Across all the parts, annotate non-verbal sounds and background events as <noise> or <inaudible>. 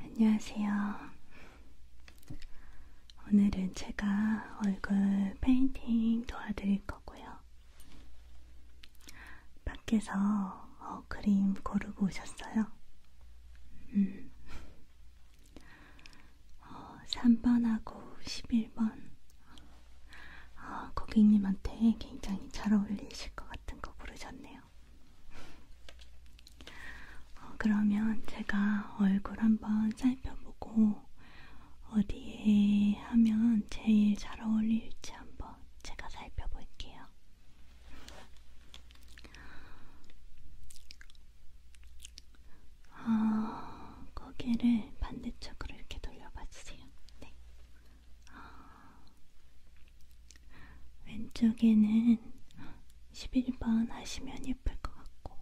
안녕하세요. 오늘은 제가 얼굴 페인팅 도와드릴 거고요. 밖에서 어, 그림 고르고 오셨어요? 음. 어, 3번하고 11번. 어, 고객님한테 굉장히 잘 어울리실 것 같은 거 고르셨네요. 같아요. 어, 그러면 제가 얼굴 한번 살펴보고 어디에 하면 제일 잘 어울릴지 한번 제가 살펴볼게요. 어, 고개를 반대쪽으로 이렇게 돌려봐 주세요. 네. 어, 왼쪽에는 11번 하시면 예쁠 것 같고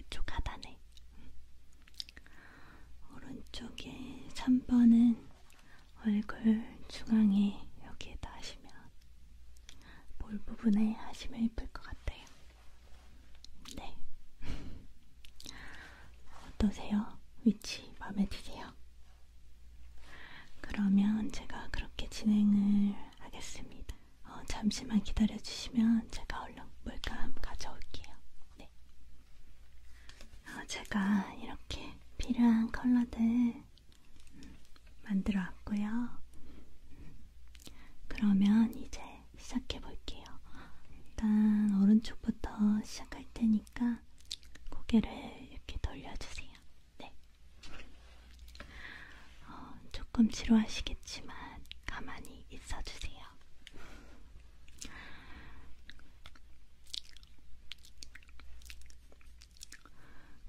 이쪽 하단에 오른쪽에 3번은 얼굴 중앙에 여기에다 하시면 볼 부분에 하시면 예쁠 것 같아요. 네. 어떠세요? 위치 마음에 드세요? 그러면 제가 그렇게 진행을 하겠습니다. 어, 잠시만 기다려주시면 제가 얼른 물감 가져올게요. 네. 어, 제가 이렇게 필요한 컬러들 음, 만들어 왔고요. 음, 그러면 이제 시작해 볼게요. 일단 오른쪽부터 시작할 테니까 고개를 이렇게 돌려주세요. 네. 어, 조금 지루하시겠지만 가만히 있어주세요.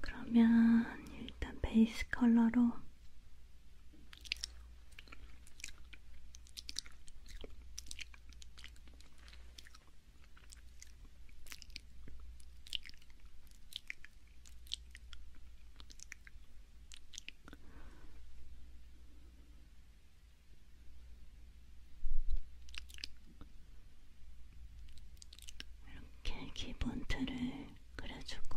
그러면 일단 베이스 컬러로 이렇게 기본 틀을 그려주고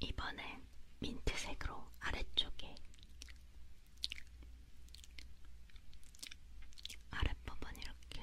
이번엔 민트색으로 아래쪽에 아랫부분 이렇게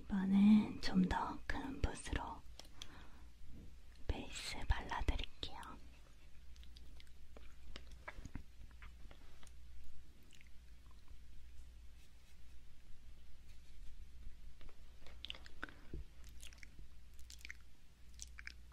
이번엔 좀 더 큰 붓으로 베이스 발라드릴게요.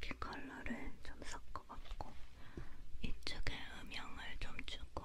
이렇게 컬러를 좀 섞어봤고 이쪽에 음영을 좀 주고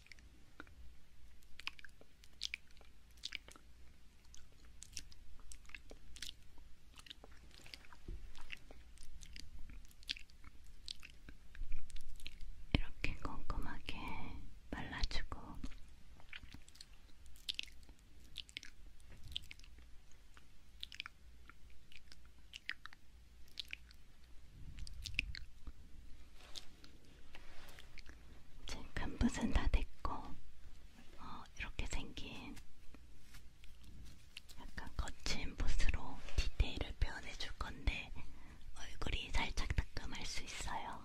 이렇게 꼼꼼하게 발라주고 이제 캔붓은 다 됐고 어, 이렇게 생긴 약간 거친 붓으로 디테일을 표현해 줄 건데 얼굴이 살짝 따끔할 수 있어요.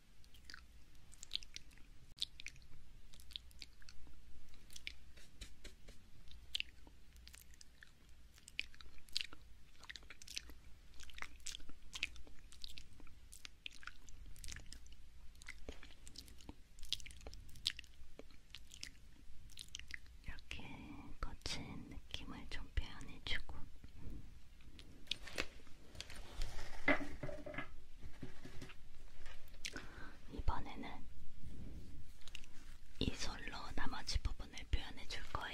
이렇게 거친 느낌을 좀 표현해주고 이번에는 이 솔로 나머지 부분을 표현해 줄 거예요.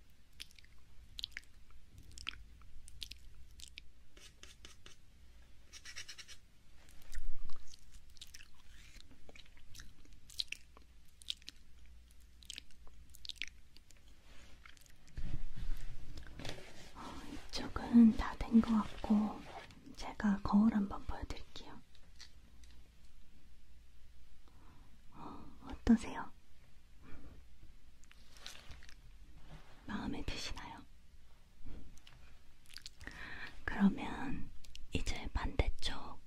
어, 이쪽은 다 된 것 같고, 제가 거울 한번 보여드릴게요. 어, 어떠세요? 마음에 드시나요? 그러면 이제 반대쪽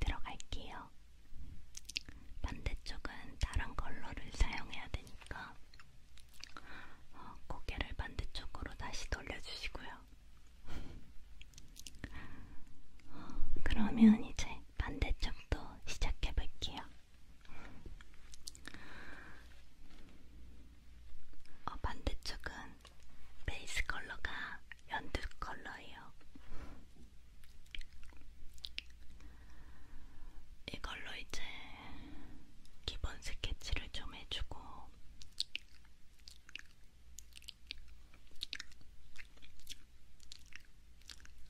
들어갈게요. 반대쪽은 다른 컬러를 사용해야 되니까 어, 고개를 반대쪽으로 다시 돌려주시고요. 어, 그러면 이제 반대쪽 영상도 시작해 볼게요. 어, 반대쪽은 베이스 컬러가 연두 컬러예요. 이걸로 이제 기본 스케치를 좀 해주고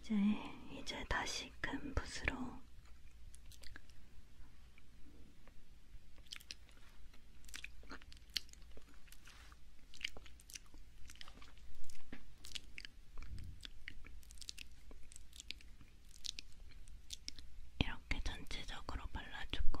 이제 이제 다시 큰 붓으로 이렇게 전체적으로 발라주고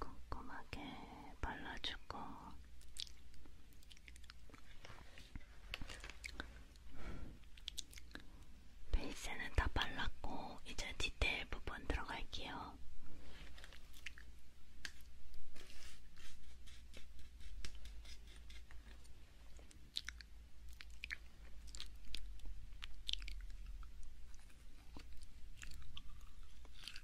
꼼꼼하게 발라주고 베이스는 다 발랐고 이제 디테일 부분 들어갈게요.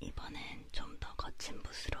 이번엔 좀 더 거친 붓으로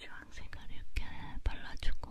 주황색을 이렇게 발라주고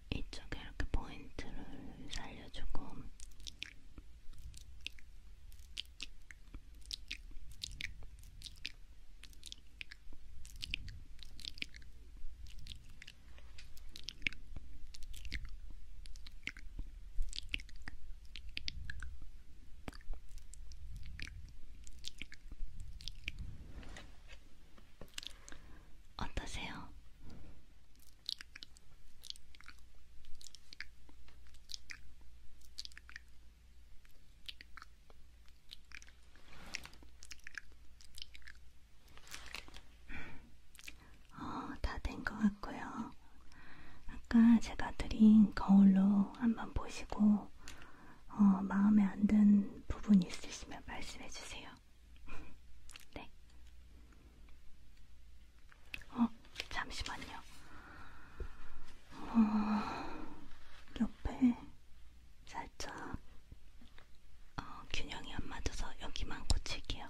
이쪽에 이렇게 포인트를 살려주고 어떠세요? 어, 다된 것 같고요. 아까 제가 드린 거울로 한번 보시고 어, 마음에 안 든 부분 있으시면 말씀해 주세요. 네. 어, 잠시만요. 어, 옆에 살짝 어, 균형이 안 맞아서 여기만 고칠게요.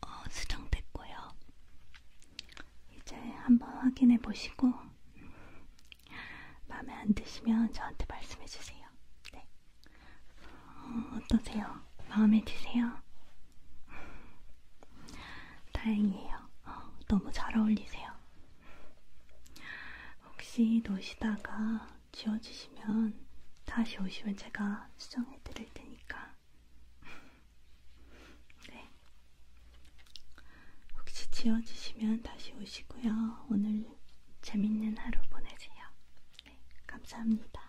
어, 수정됐고요. 이제 한번 확인해 보시고 마음에 안 드시면 저한테 말씀해 주세요. 네. 어, 어떠세요? 마음에 드세요? 다행이에요. 어, 너무 잘 어울리세요. 혹시 놓으시다가 지워주시면 다시 오시면 제가 수정해 드릴 테니까. <laughs> 네. 혹시 지워주시면 다시 오시고요. 오늘 재밌는 하루 보내세요. 네. 감사합니다.